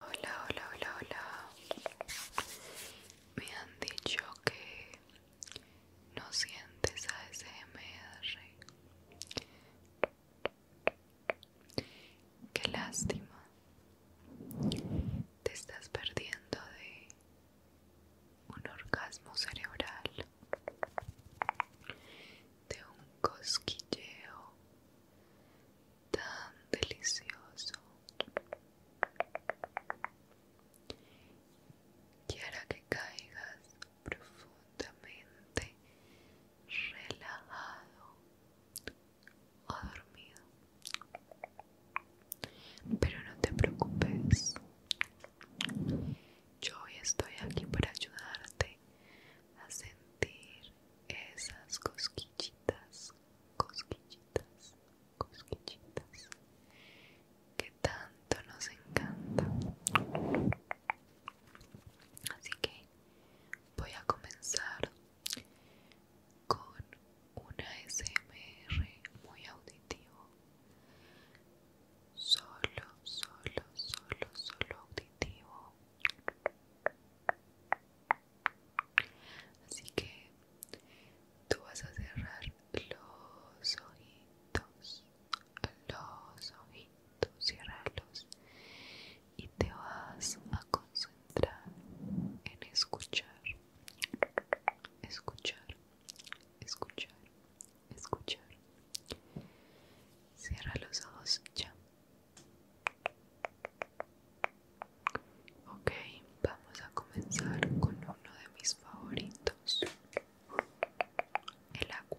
Hola, hola, hola, hola. Me han dicho que no sientes ASMR. Qué lástima. Te estás perdiendo de un orgasmo cerebral, de un cosquilleo tan delicioso que que caigas profundamente relajado o dormido. Pero no te preocupes, yo hoy estoy aquí para ayudarte a sentir esas cosquillitas cosquillitas, cosquillitas que tanto nos encanta. Así que voy a comenzar con una SMR muy auditivo. Solo, solo, solo, solo auditivo. Así que tú vas a cerrar los ojitos, los ojitos, ciérralos y te vas a concentrar en escuchar, escuchar, escuchar, escuchar. Cierra los ojos ya. Okay, vamos a comenzar con uno de mis favoritos, el agua.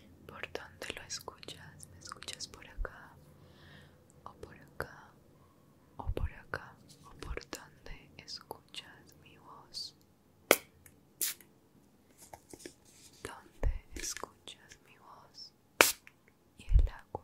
por dónde lo escuchas, me escuchas por acá, o por acá, o por acá, o por dónde escuchas mi voz. ¿Dónde escuchas mi voz y el agua?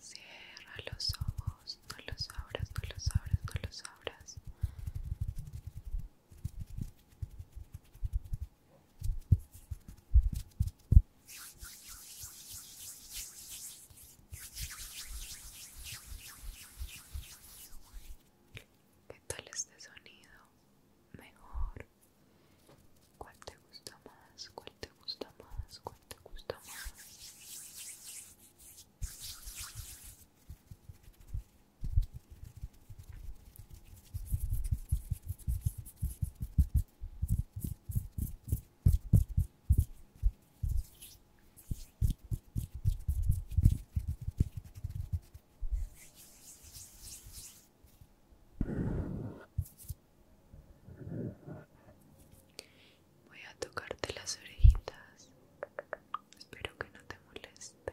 Cierra los ojos, no los abras, no los abras, no los abras. ¿Qué tal este sonido? Mejor. ¿Cuál te gusta más? ¿Cuál te gusta más? ¿Cuál te gusta más? Voy a tocarte las orejitas. Espero que no te moleste.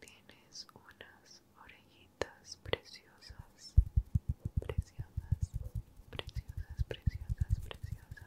Tienes unas orejitas preciosas, preciosas, preciosas, preciosas, preciosas.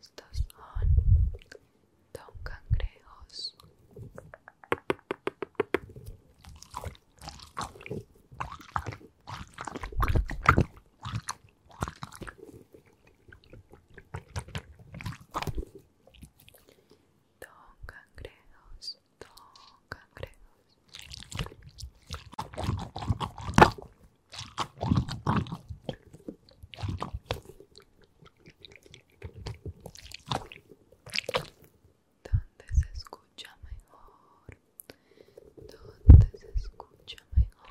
Estos son don cangrejos. Don cangrejos, don cangrejos. Donde se escucha mejor, donde se escucha mejor.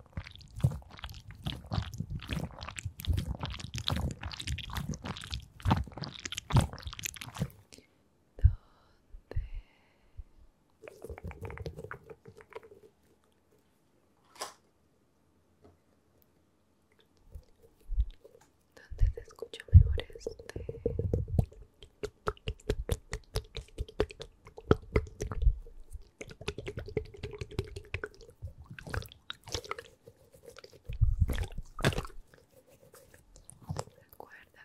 ¿Dónde te escucho mejor este? Recuerda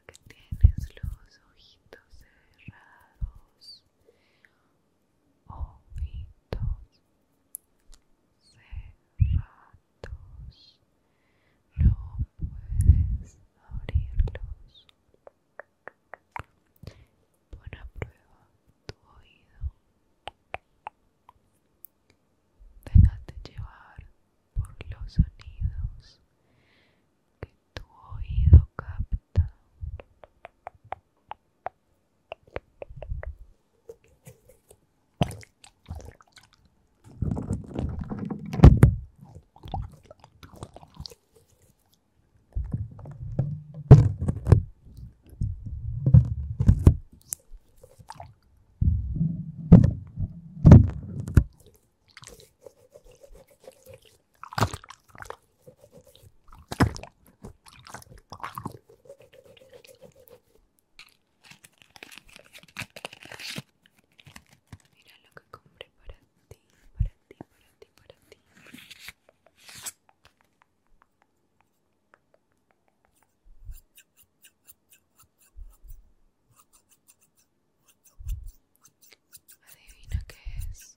que tienes los ojitos cerrados. Ojitos cerrados. No puedes abrirlos. Pon prueba tu oído. dejate llevar por los sonidos que tu oído capta. Mira lo que compré para ti, para Adivina qué es.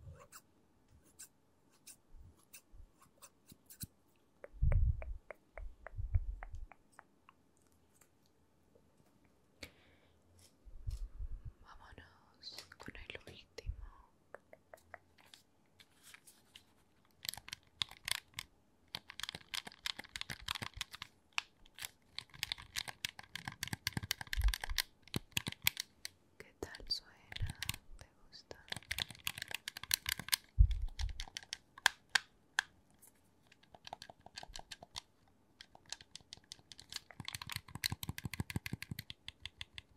Vámonos con el último. ¿Qué tal suena? ¿Te gusta?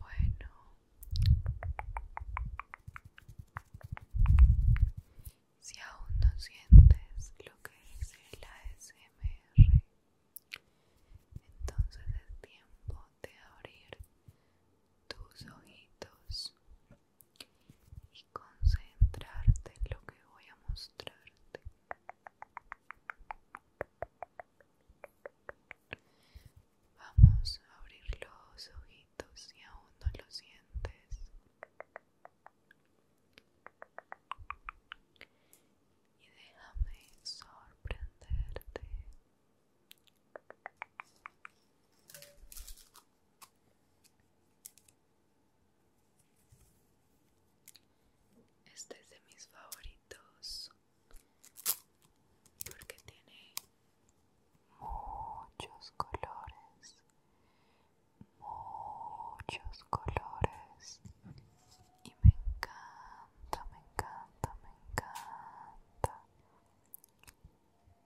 Bueno. Si aún no sientes lo que es el ASMR, entonces es tiempo de abrir tus ojitos y concentrarte en lo que voy a mostrarte. Vamos a abrir los ojitos si aún no lo sientes y déjame sorprenderte. Este es de mis favoritos porque tiene muchos colores, muchos colores y me encanta me encanta, me encanta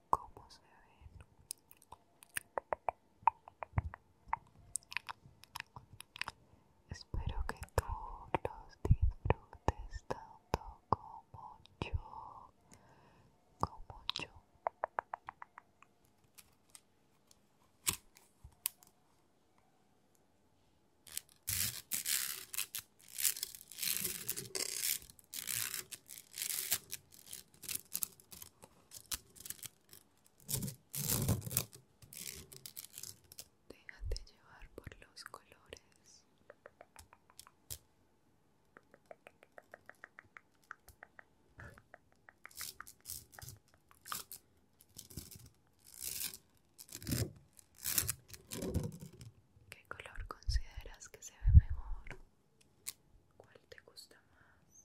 cómo se ven. Espero que tú los disfrutes tanto como yo, como yo. Déjate llevar por los colores. ¿Qué color consideras que se ve mejor? ¿Cuál te gusta más?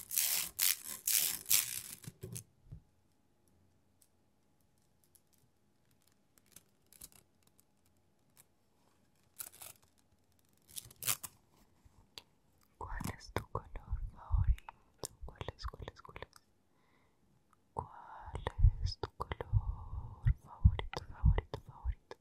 ¿Cuál es tu color favorito? ¿Cuál es, cuál es, cuál ¿Cuál es tu color favorito, favorito, favorito?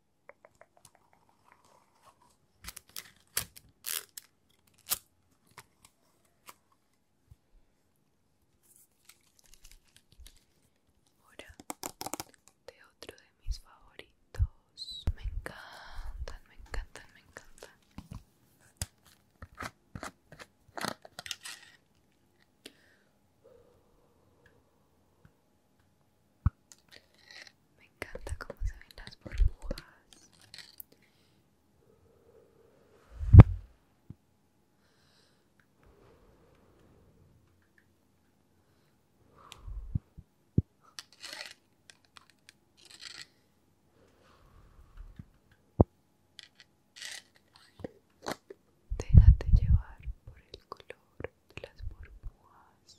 Ahora de otro de mis favoritos. Me encantan, me encantan, me encantan. Me encanta cómo se ven las burbujas. Déjate llevar por el color de las burbujas.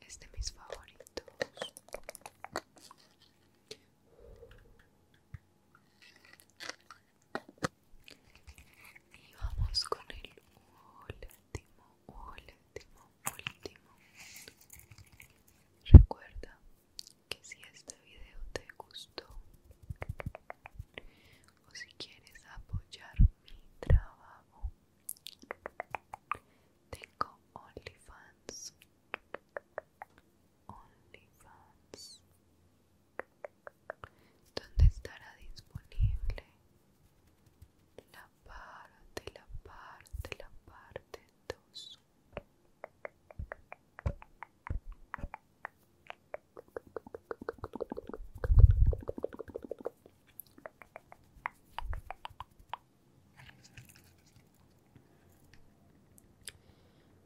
es de mis favoritos y vamos con el último último último recuerda que si este video te gustó o si quieres apoyar mi trabajo tengo OnlyFans. OnlyFans. Donde estará disponible la parte, la parte, la parte 2.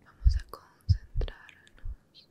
Vamos a concentrarnos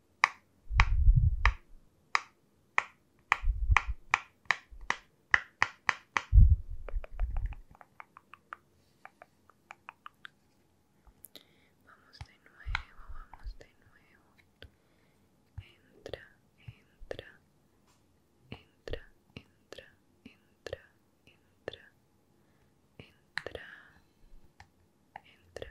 Vamos de nuevo, vamos de nuevo. Entra, entra, entra, entra, entra, entra, entra, entra,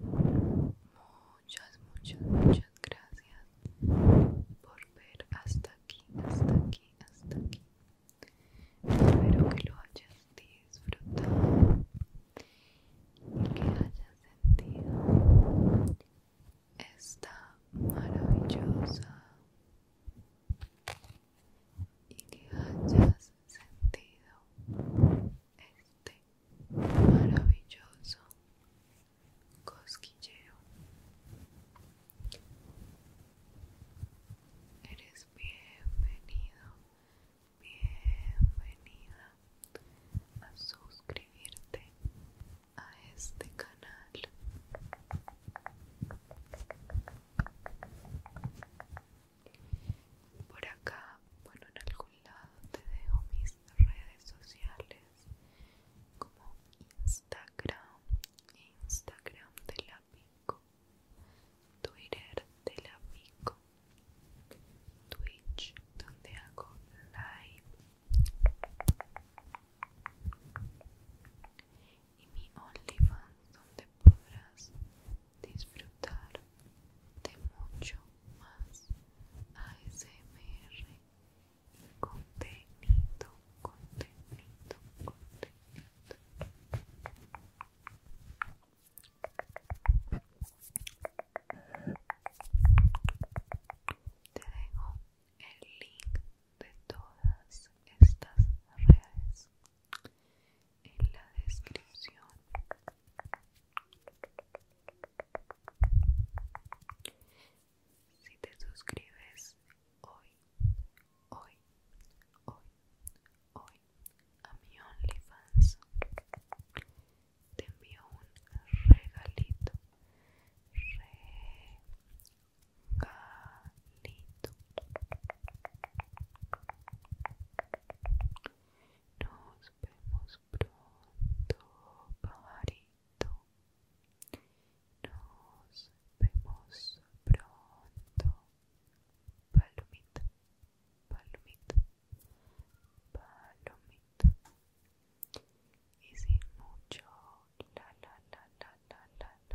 Muchas, muchas, muchas gracias por ver hasta aquí, hasta aquí, hasta aquí. Espero que lo hayas disfrutado y que hayas sentido esta maravillosa y que hayas sentido este maravilloso cosquilleo. Eres bienvenido, bienvenida a suscribirte a este canal. Por acá, bueno, en algún te dejo mis redes sociales como Instagram, Instagram de la Pico, Twitter de la Pico, Twitch donde hago live y mi OnlyFans donde podrás disfrutar de mucho más ASMR contenido, contenido, contenido. Te dejo el link de todas estas redes en la descripción. Si te suscribes hoy, hoy, hoy, hoy a mi OnlyFans, te envío un regalito, regalito. Nos vemos pronto, pajarito. Nos vemos pronto, palomita, palomita, palomita. Y sin mucho la la la